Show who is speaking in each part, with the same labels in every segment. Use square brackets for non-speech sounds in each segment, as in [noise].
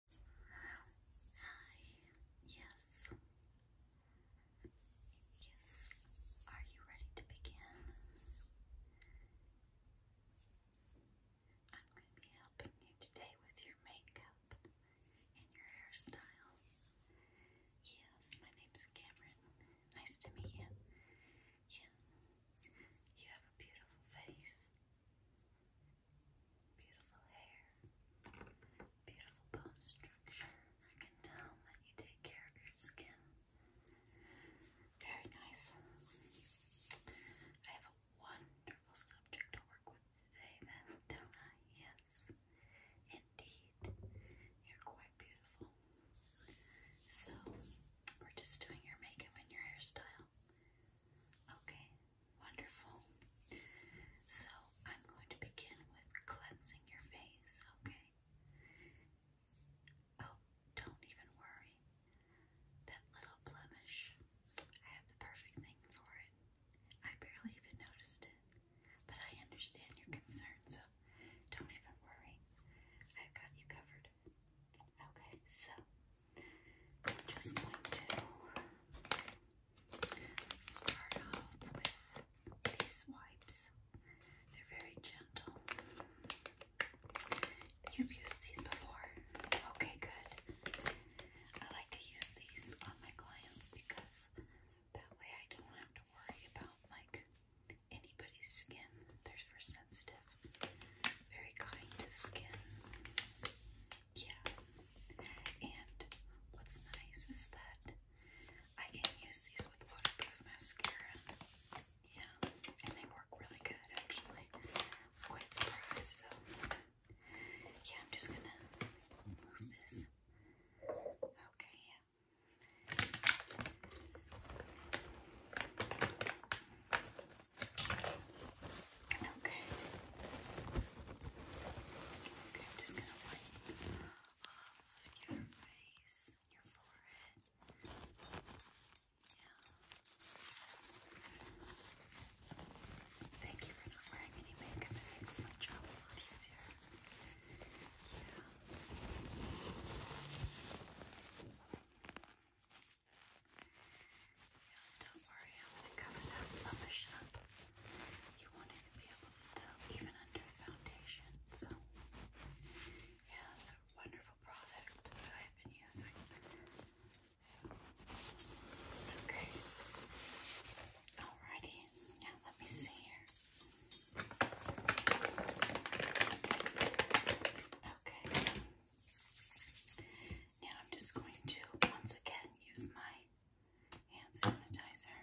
Speaker 1: Hi. Yes. Yes. Are you ready to begin? I'm going to be helping you today with your makeup and your hairstyle. Yes, my name's Cameron. Nice to meet you. Yeah. You have a beautiful face. Beautiful hair. Beautiful bone structure. I can tell that you take care of your skin. Very nice. I have a wonderful subject to work with today, then, don't I? Yes, indeed. You're quite beautiful. So, we're just doing your makeup and your hairstyle. Okay, Wonderful. So I'm going to begin with cleansing your face, okay? Oh, don't even worry. That little blemish, I have the perfect thing for it. I barely even noticed it, but I understand your concern, so don't even worry. I've got you covered. Okay, so I'm just going to start off with these wipes. They're very gentle. You've used these before? Okay, good. I like to use these on my clients because that way I don't have to worry about like anybody's skin. They're for sensitive. Very kind to the skin. Yeah. And what's nice is that I can use these with waterproof mascara. Yeah. And they work really good actually. quite surprised. So yeah, I'm just gonna move this. Okay, yeah. Okay. Okay, I'm just gonna wipe off your face and your forehead. Yeah. Thank you for not wearing any makeup. It makes my job a lot easier. Yeah don't worry, I'm going to cover that rubbish up. You wanted to be able to tell even under foundation, so yeah, it's a wonderful product that I've been using. So, okay. Alrighty, now let me see here. Okay. Now I'm just going to once again use my hand sanitizer.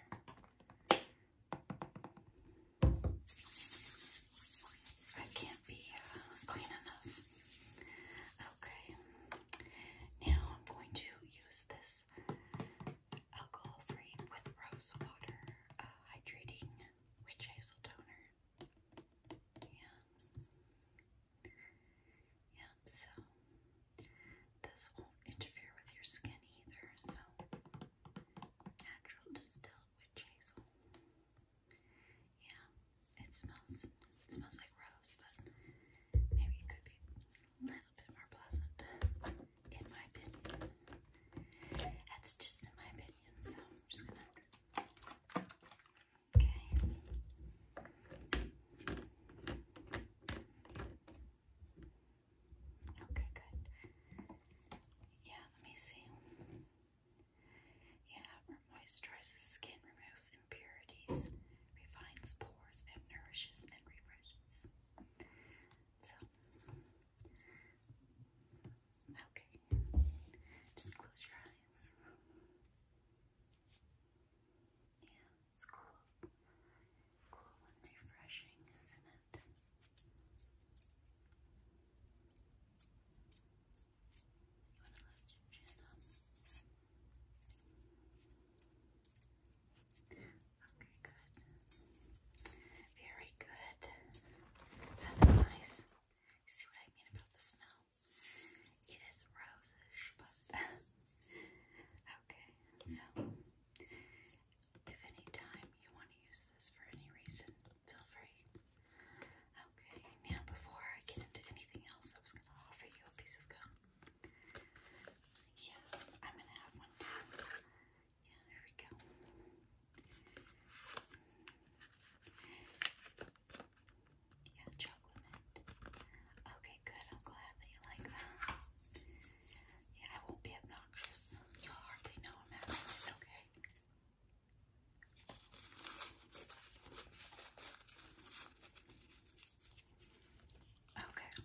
Speaker 1: I can't be uh, clean enough. Okay. Now I'm going to use this alcohol-free with rose water uh, hydrating witch hazel toner. Yeah, so this won't interfere with your skin either, so natural distilled witch hazel. Yeah, it smells it smells like rose, but maybe it could be a little bit more pleasant, in my opinion. That's just in my opinion, so I'm just gonna Okay. Okay, good. Yeah, let me see. Yeah, moisturizes skin, removes impurities, refines pores, and nourishes and refreshes. So, okay. Just close your eyes. Yeah, it's cool. Cool and refreshing, isn't it? You want to lift your chin up? Okay, good. Very good. Is that nice? You see what I mean about the smell? It is rosish, but [laughs] okay. So, if any time you want to use this for any reason, feel free. Okay. Now, before I get into anything else, I was going to offer you a piece of gum. Yeah, I'm going to have one. Too. Yeah, here we go. Yeah, chocolate mint. Okay, good. I'm glad that you like that. Yeah, I won't be obnoxious. hardly know I'm having okay? Okay.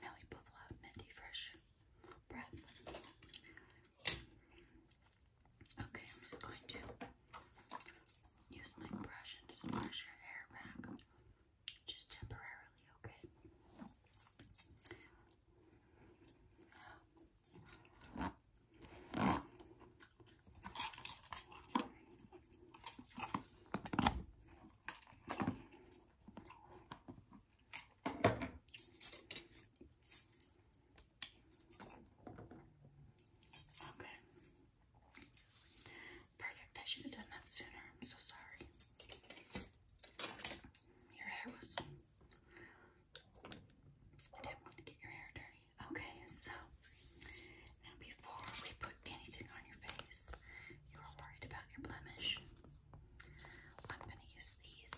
Speaker 1: Now we both will minty fresh breath. Okay, I'm just going to use my brush and just brush your hair back. Just temporarily, okay? Okay. Perfect. I should have done that sooner. I'm so sorry. Your hair was. I didn't want to get your hair dirty. Okay, so now before we put anything on your face, you are worried about your blemish. I'm gonna use these.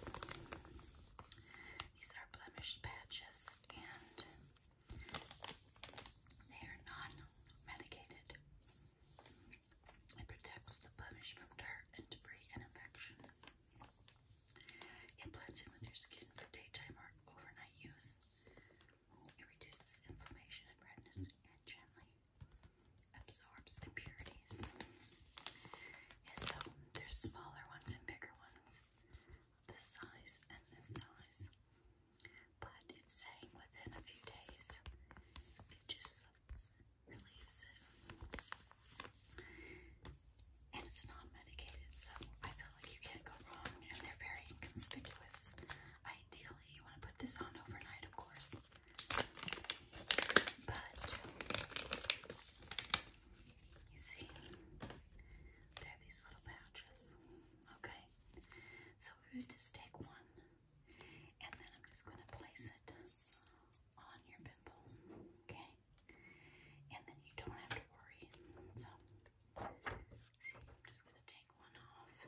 Speaker 1: These are blemished patches and they are non-medicated. It protects the blemish from dirt and debris and infection. It blends in with your skin for daytime or overnight use. It reduces inflammation and redness and gently absorbs impurities. so there's smaller ones and bigger ones this size and this size. But it's saying within a few days, it just relieves it. And it's non medicated, so I feel like you can't go wrong, and they're very inconspicuous. Ideally, you want to put this on overnight, of course. But you see, they're these little pouches. Okay, so we're going to just take one, and then I'm just going to place it on your pimple. Okay, and then you don't have to worry. So, see, I'm just going to take one off.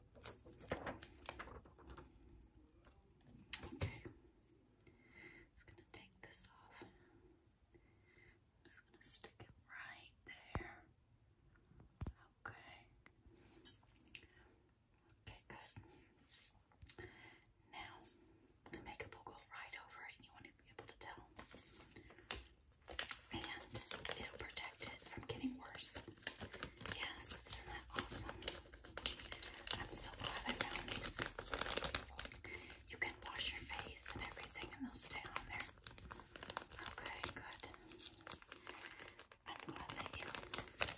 Speaker 1: Okay. Just going to take this off. just going to stick it right there. Okay. Okay, good. Now, the makeup will go right over it you want to be able to tell. And it'll protect it from getting worse. Yes, isn't that awesome? I'm so glad I found these. You can wash your face and everything, and they'll stay on there. Okay, good. I'm glad that you are comfortable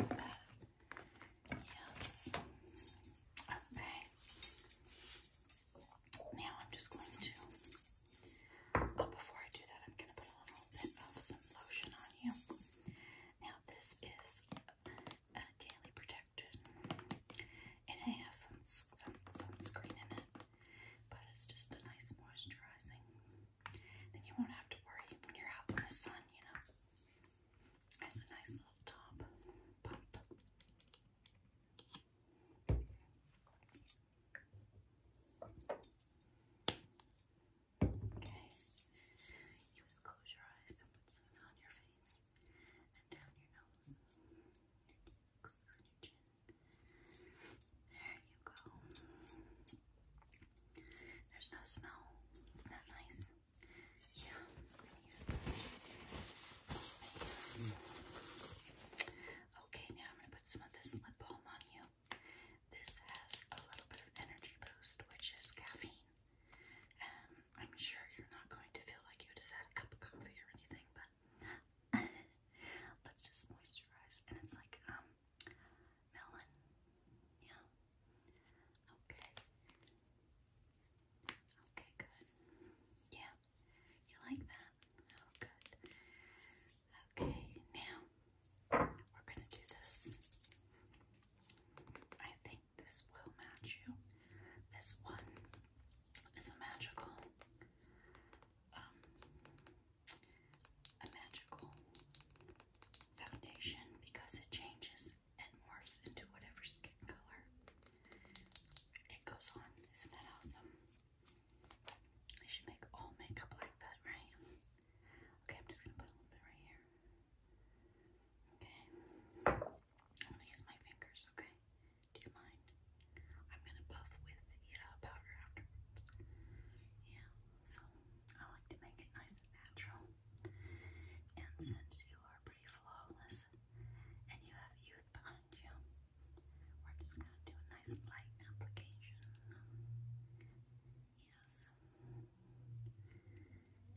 Speaker 1: with that. Yes. Okay. Now I'm just going to Oh, before I do that, I'm going to put a little bit of some lotion on you. Now, this is a daily protection, and it has some, sunscreen in it, but it's just a nice moisturizing. Then you won't have to worry when you're out in the sun, you know. It a nice little top, Okay. You just close your eyes and put some on your face and down your nose, your cheeks, and your chin. There you go. There's no smell. Isn't that nice? Yeah, use this. Okay, now I'm gonna put some of this lip balm on you. This has a little bit of energy boost, which is caffeine. Um, I'm sure you're not going to feel like you just had a cup of coffee or anything, but [laughs] let's just moisturize. And it's like um melon. Yeah. Okay. Okay, good. Yeah. You like that? Oh, good. Okay, now we're going to do this. I think this will match you. This one is a magical, um, a magical foundation because it changes and morphs into whatever skin color it goes on. Isn't that awesome? I should make all makeup like that, right? Okay, I'm just gonna put a little bit right here. Okay. I'm gonna use my fingers, okay? Do you mind? I'm gonna buff with yeah powder afterwards. Yeah, so I like to make it nice and natural. And since you are pretty flawless and you have youth behind you, we're just going to do a nice light application. Yes.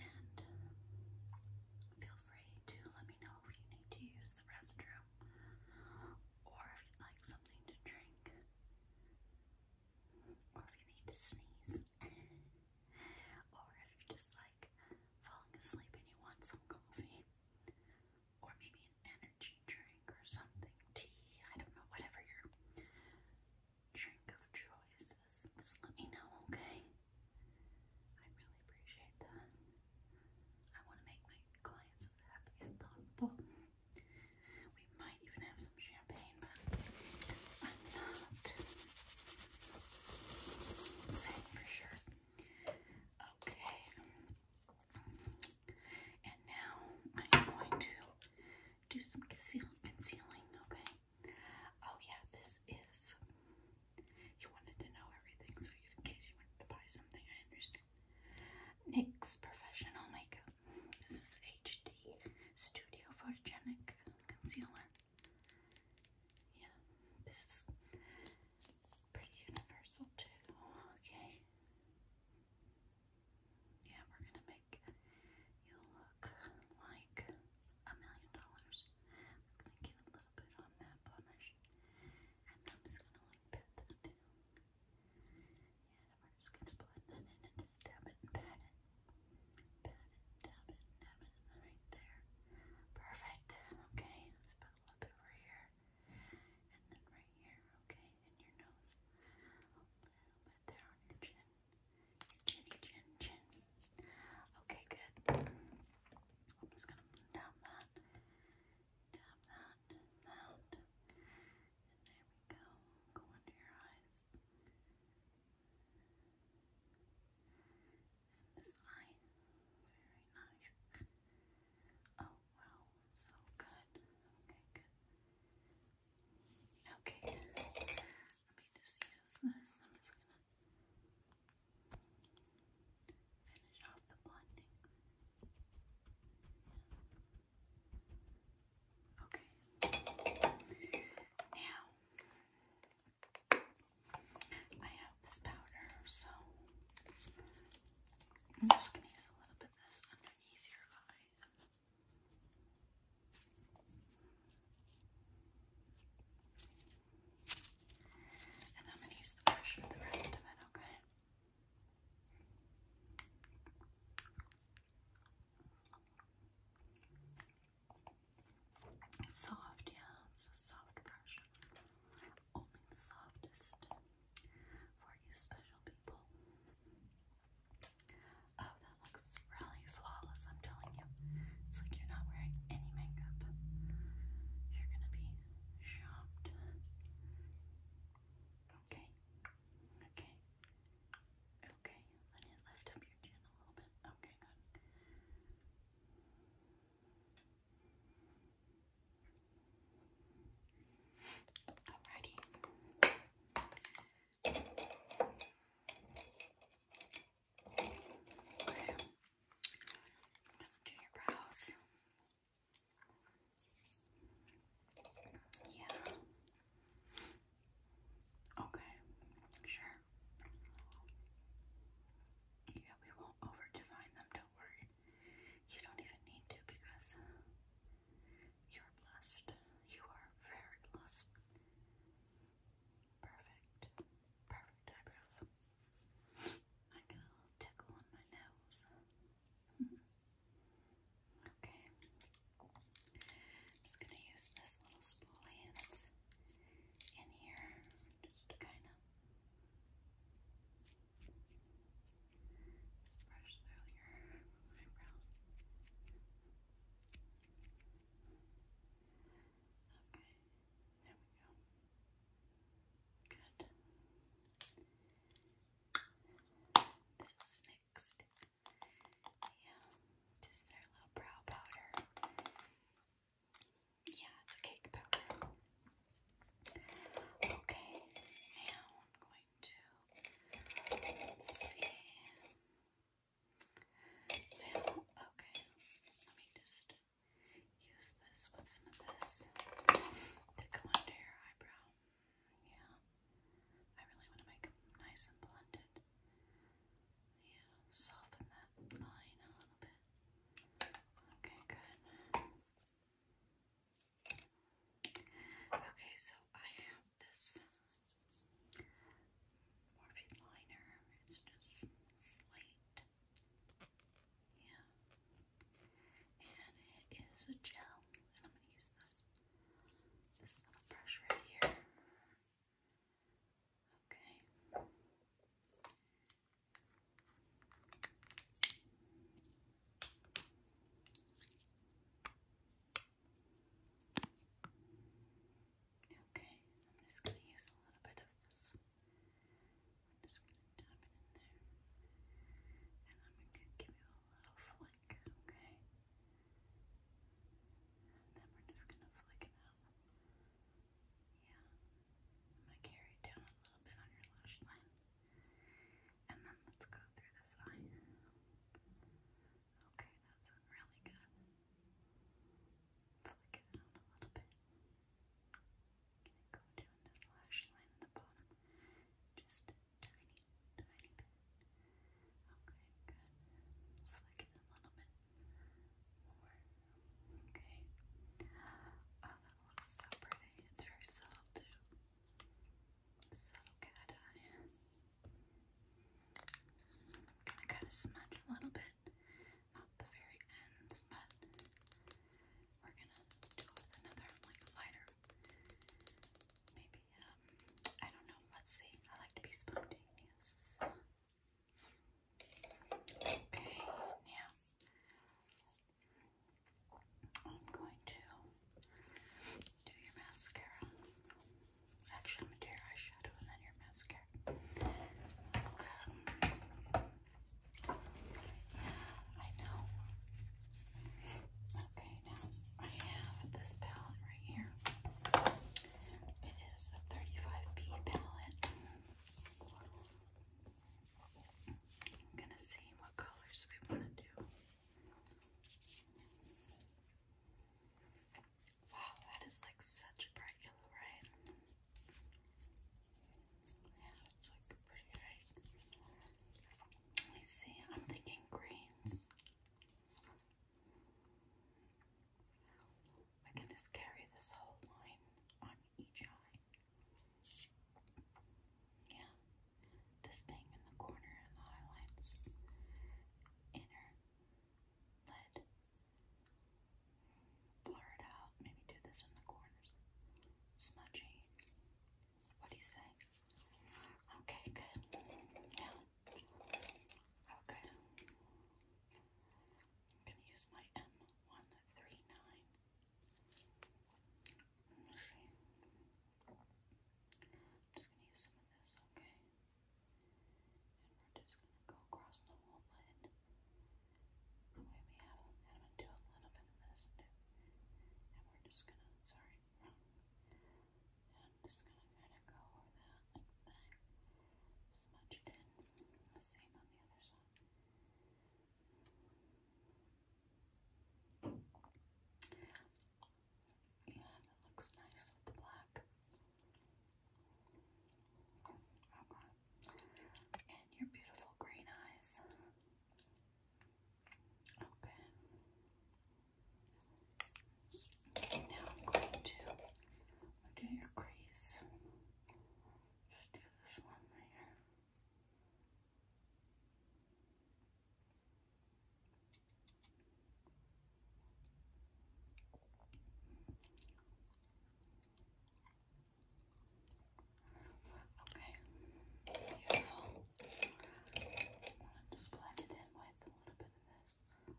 Speaker 1: And feel free to let me know if you need to use the restroom or if you'd like something to drink or if you need to sneeze [laughs] or if you're just like falling asleep and you want some coffee or maybe an energy drink or something, tea, I don't know, whatever your drink of choice is. Just let me know, okay? I really appreciate that. I want to make my clients as happy as possible. We might even have some champagne, but I'm not saying for sure. Okay. And now I am going to do some conceal concealing, okay? Oh yeah, this is, you wanted to know everything, so in case you wanted to buy something, I understand. NYX Professional Makeup. This is HD Studio Photogenic Concealer. Yeah, this is pretty universal too, okay? Yeah, we're gonna make you look like a million dollars. I'm gonna get a little bit on that blemish, and I'm just gonna like pat that down. Yeah, we're just gonna blend that in and just dab it and pat it. Pat it, dab it, dab it, right there. Perfect. Okay, let a little bit over here, and then right here. Okay, in your nose, a little bit there on your chin, chinny chin chin. Okay, good. I'm just gonna move that, down that, down, there we go. Go under your eyes. this eye, very nice. Oh, wow, so good. Okay, Okay, let me just use this. I'm just gonna finish off the blending. Okay. Now I have this powder, so I'm just gonna use a little bit of this and I'm going to use the brush for the rest of it, okay? soft, yeah, it's a soft brush. Only the softest for you special people. Oh, that looks really flawless, I'm telling you. It's like you're not wearing any makeup. You're gonna be shocked. Okay, okay, okay. Let it lift up your chin a little bit. Okay, good. Alrighty. Okay. do your brows. Yeah. Okay. Sure. Yeah, we won't over them, don't worry. You don't even need to because uh, you're blessed. You are very blessed. Perfect. Perfect eyebrows. I got a little tickle on my nose. okay. I'm just going to use this little spoolie that's in here just to kind of just brush your eyebrows. Okay, there we go. Good. This is next. Yeah, this is their little brow powder. Yeah, it's a cake powder. Okay, now I'm going to see. okay, let me just use this with some of this to go under your eyebrow. Yeah, I really want to make them nice and blended. Yeah, soften that line a little bit. Okay, good. Okay, so I have this Morphe liner. It's just slate. Yeah. And it is a gel. And I'm going to use this, this little brush right here. Okay. Okay, I'm just going to use a little bit of this. I'm just going to dab it in there. And I'm going to give you a little flick, okay? then we're just going to flick it out. Yeah. I'm going to carry down a little bit on your lash line. And then let's go through this eye. Okay, that's really good. Flick it out a little bit. Can it go down the lash line at the bottom? Just tiny, tiny bit. Okay, good. Flick it a little bit more. Okay. Oh, that looks so pretty. It's very subtle too subtle cat I'm gonna kind of smudge a little bit, not the very ends, but we're gonna do another like lighter. Maybe um, I don't know. Let's see. I like to be spontaneous. Okay, now I'm going to do your mascara. Actually, I'm going to do your eyeshadow and then your mascara. I know. Okay, now I have this palette right here. It is a 35B palette. I'm gonna see what colors we want to do. Wow, that is like such bright yellow, right? Yeah, it's like pretty right. Let me see, I'm thinking greens. I can just carry this whole line on each eye. Yeah, this bang in the corner and the highlights. Inner lid. Blur it out. Maybe do this in the corners. Smudgy. What do you say? Okay, good. Now, okay. I'm going to use my M139. Let's I'm just gonna use some of this, okay? And we're just gonna go across the whole lid. That way we have and I'm gonna do a little bit of this And we're just gonna sorry, I'm just gonna kinda go over that like that. Smudge it in. same on the other side. Yeah, that looks nice with the black. And your beautiful green eyes. Okay. now I'm going to do your crease. Just do this one here. Okay, beautiful. just blend it in with a little bit of this.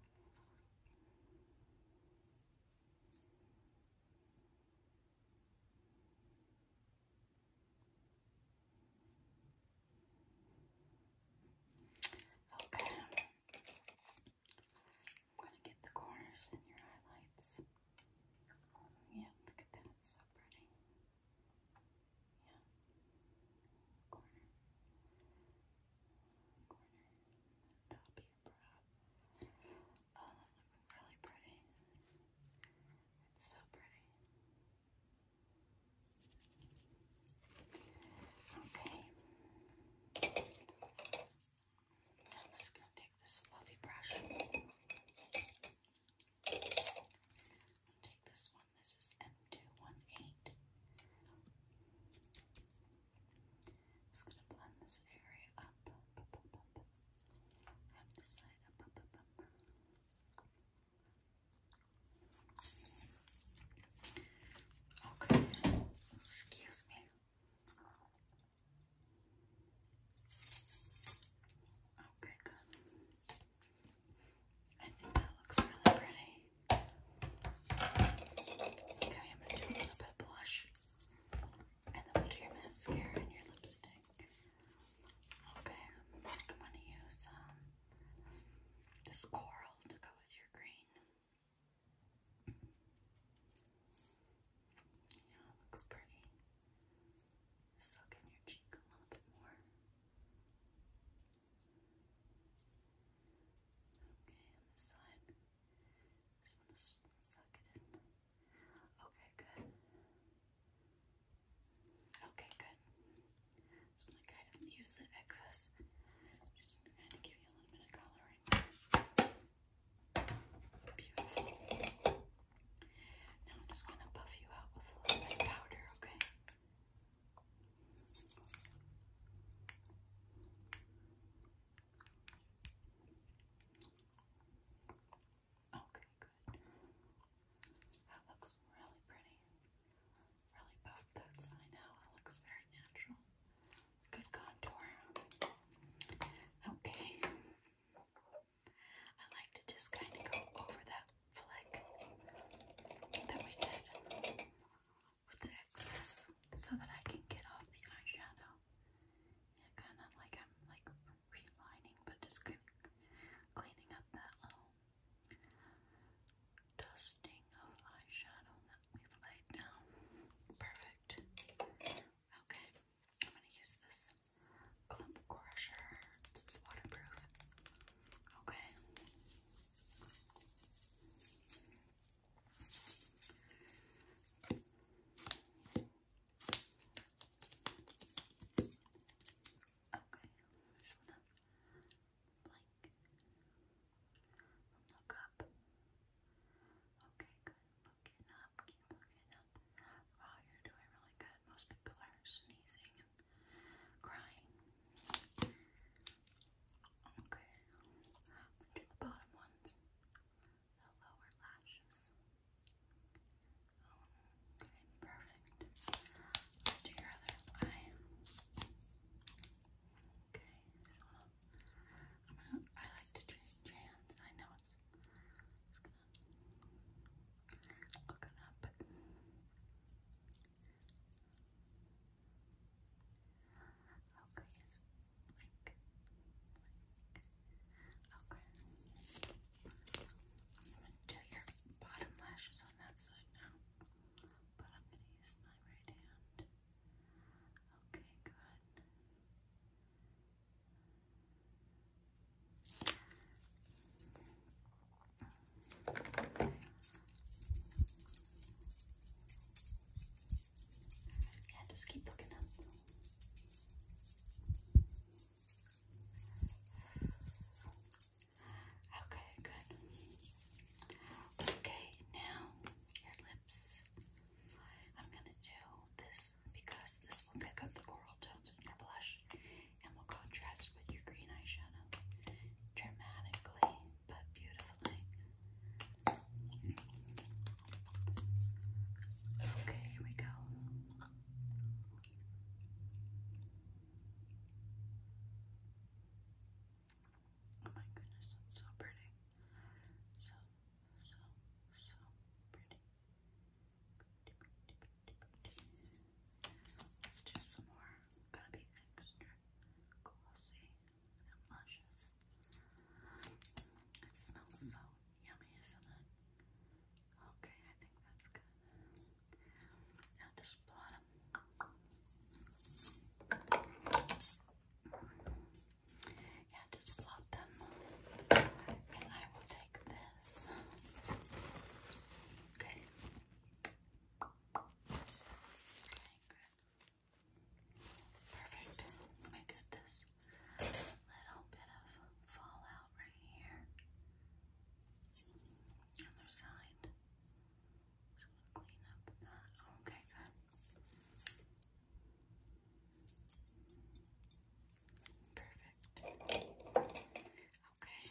Speaker 1: Okay. I'm going to get the corners in your highlights. Yeah, look at that. It's so pretty. Yeah. Corner. Corner. Top of your brow. Oh, that looks really pretty. It's so pretty. Okay. I'm just going to take this fluffy brush. take this one. This is M218. just going to blend this area up. I have excuse me. Okay, good. I think that looks really pretty. Okay, I'm gonna do a little bit of blush. And then we do your mascara and your lipstick. Okay, I'm going to use this coral to go with your green. Yeah, it looks pretty. Just in your cheek a little bit more. Okay, on this side. Just want to suck it in. Okay, good. Okay, good. So I'm going use the excess. just going to give you a little bit of coloring. Beautiful. Now I'm just going to buff you out with a little bit of powder, Okay, Okay, good. That looks really pretty. Really buffed that side out. It looks very natural. Good contour. Okay. I like to just kind of go over that flick that we did with the excess so that I can get off the eyeshadow. Yeah, kind of like I'm like relining, but just cleaning up that little dusting of eyeshadow that we've laid down. Perfect. Okay, I'm gonna use this clump crusher. It's waterproof. Okay look up. Okay, good. Looking up, keep looking up. Wow, you're doing really good. Most people are sneezing and crying. Okay, do the bottom ones the lower lashes. Okay, perfect. Let's do your other eye. Okay, i like to change I know it's, it's gonna look up. Okay, it's Okay. I'm gonna do your bottom lashes on that side now, but I'm gonna use my right hand. Okay, good. Yeah, just keep looking up. Okay, good. Okay, now your lips. I'm gonna do this because this will pick up the coral tones in your blush and will contrast with your green eyeshadow dramatically but beautifully. Okay, here we go. Oh my goodness, that's so pretty. So, so, so pretty. Let's do some more. Gotta be extra glossy and It smells so Yummy, isn't it? Okay, I think that's good. Now just blot them. Yeah, just blot them. And I will take this. Okay. Okay, good. Perfect. Let me get this little bit of fallout right here on side. Just gonna clean up that. Okay, good. Perfect. Okay.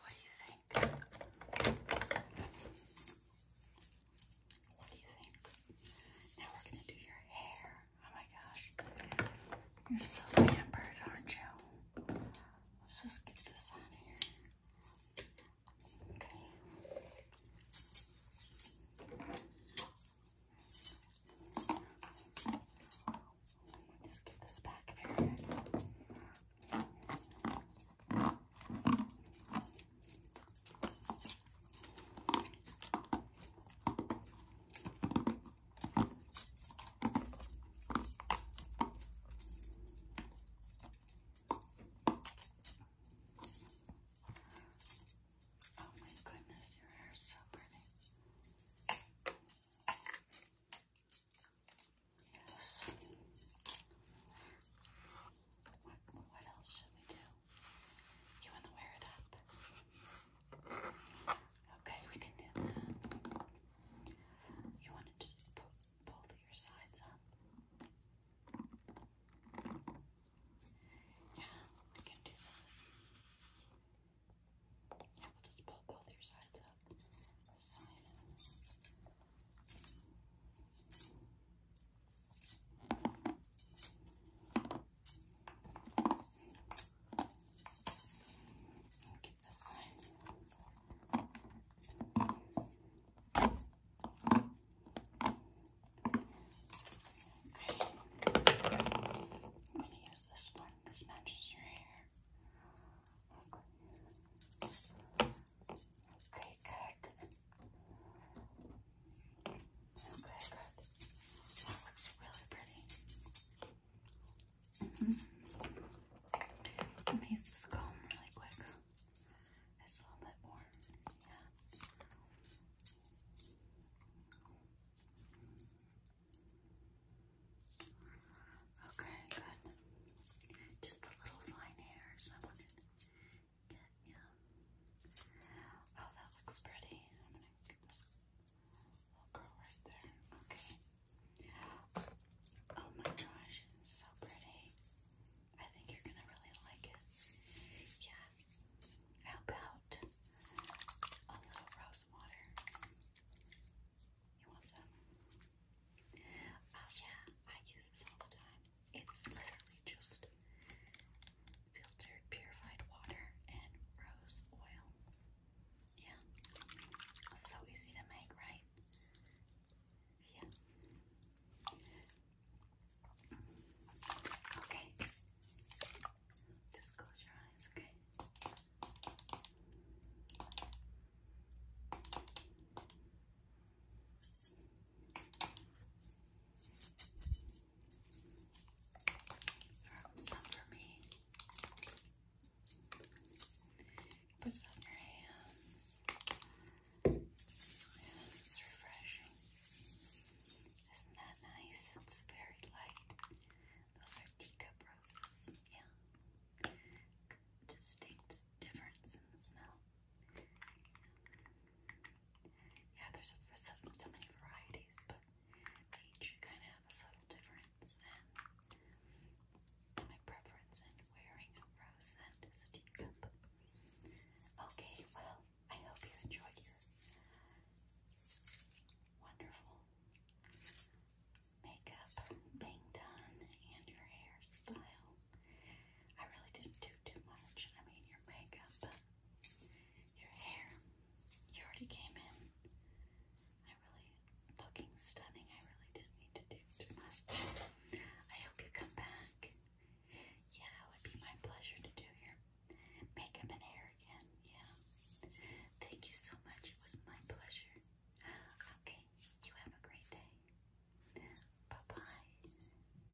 Speaker 1: What do you think? What do you think? Now we're gonna do your hair. Oh my gosh. You're so pampered, aren't you? Let's just get this on here. Okay. Just get this back there. Okay. Oh my goodness, your hair is so pretty. Yes. What, else should we do? You want to wear it up? Okay, we can do that. You want to just put both your sides up? Yeah, we can do that. Yeah, we'll just pull both your sides up i Okay. am gonna use this one. This matches your hair. okay good. Okay, good. That looks really pretty. -hmm. I'm to use this comb really quick. It's a little bit more. Yeah. Okay, good. Just the little fine hairs. Yeah. Oh, that looks pretty. I'm gonna get this little girl right there. Okay. Oh my gosh, it's so pretty. I think you're gonna really like it. Yeah. How about a little rose water? You want some? Oh yeah, I use this all the time. It's literally just filtered purified water and rose oil. Yeah. So easy to make, right? Yeah. Okay. Just close your eyes, okay? Some for me. Put it on your hands. it's refreshing. Isn't that nice? It's very light. Those are teacup roses. Yeah. Distinct difference in the smell. Yeah, there's so, many varieties, but each kind of have a subtle difference. And my preference in wearing a rose scent is a teacup. Okay, well, I hope you enjoyed your wonderful makeup being done and your hairstyle. I really didn't do too much. I mean, your makeup, your hair, you already came in. I really, looking stunning, I really didn't need to do too much. I hope you come back. Yeah, it would be my pleasure to do your makeup and hair again. Yeah. Thank you so much. It was my pleasure. Okay, you have a great day. Bye bye.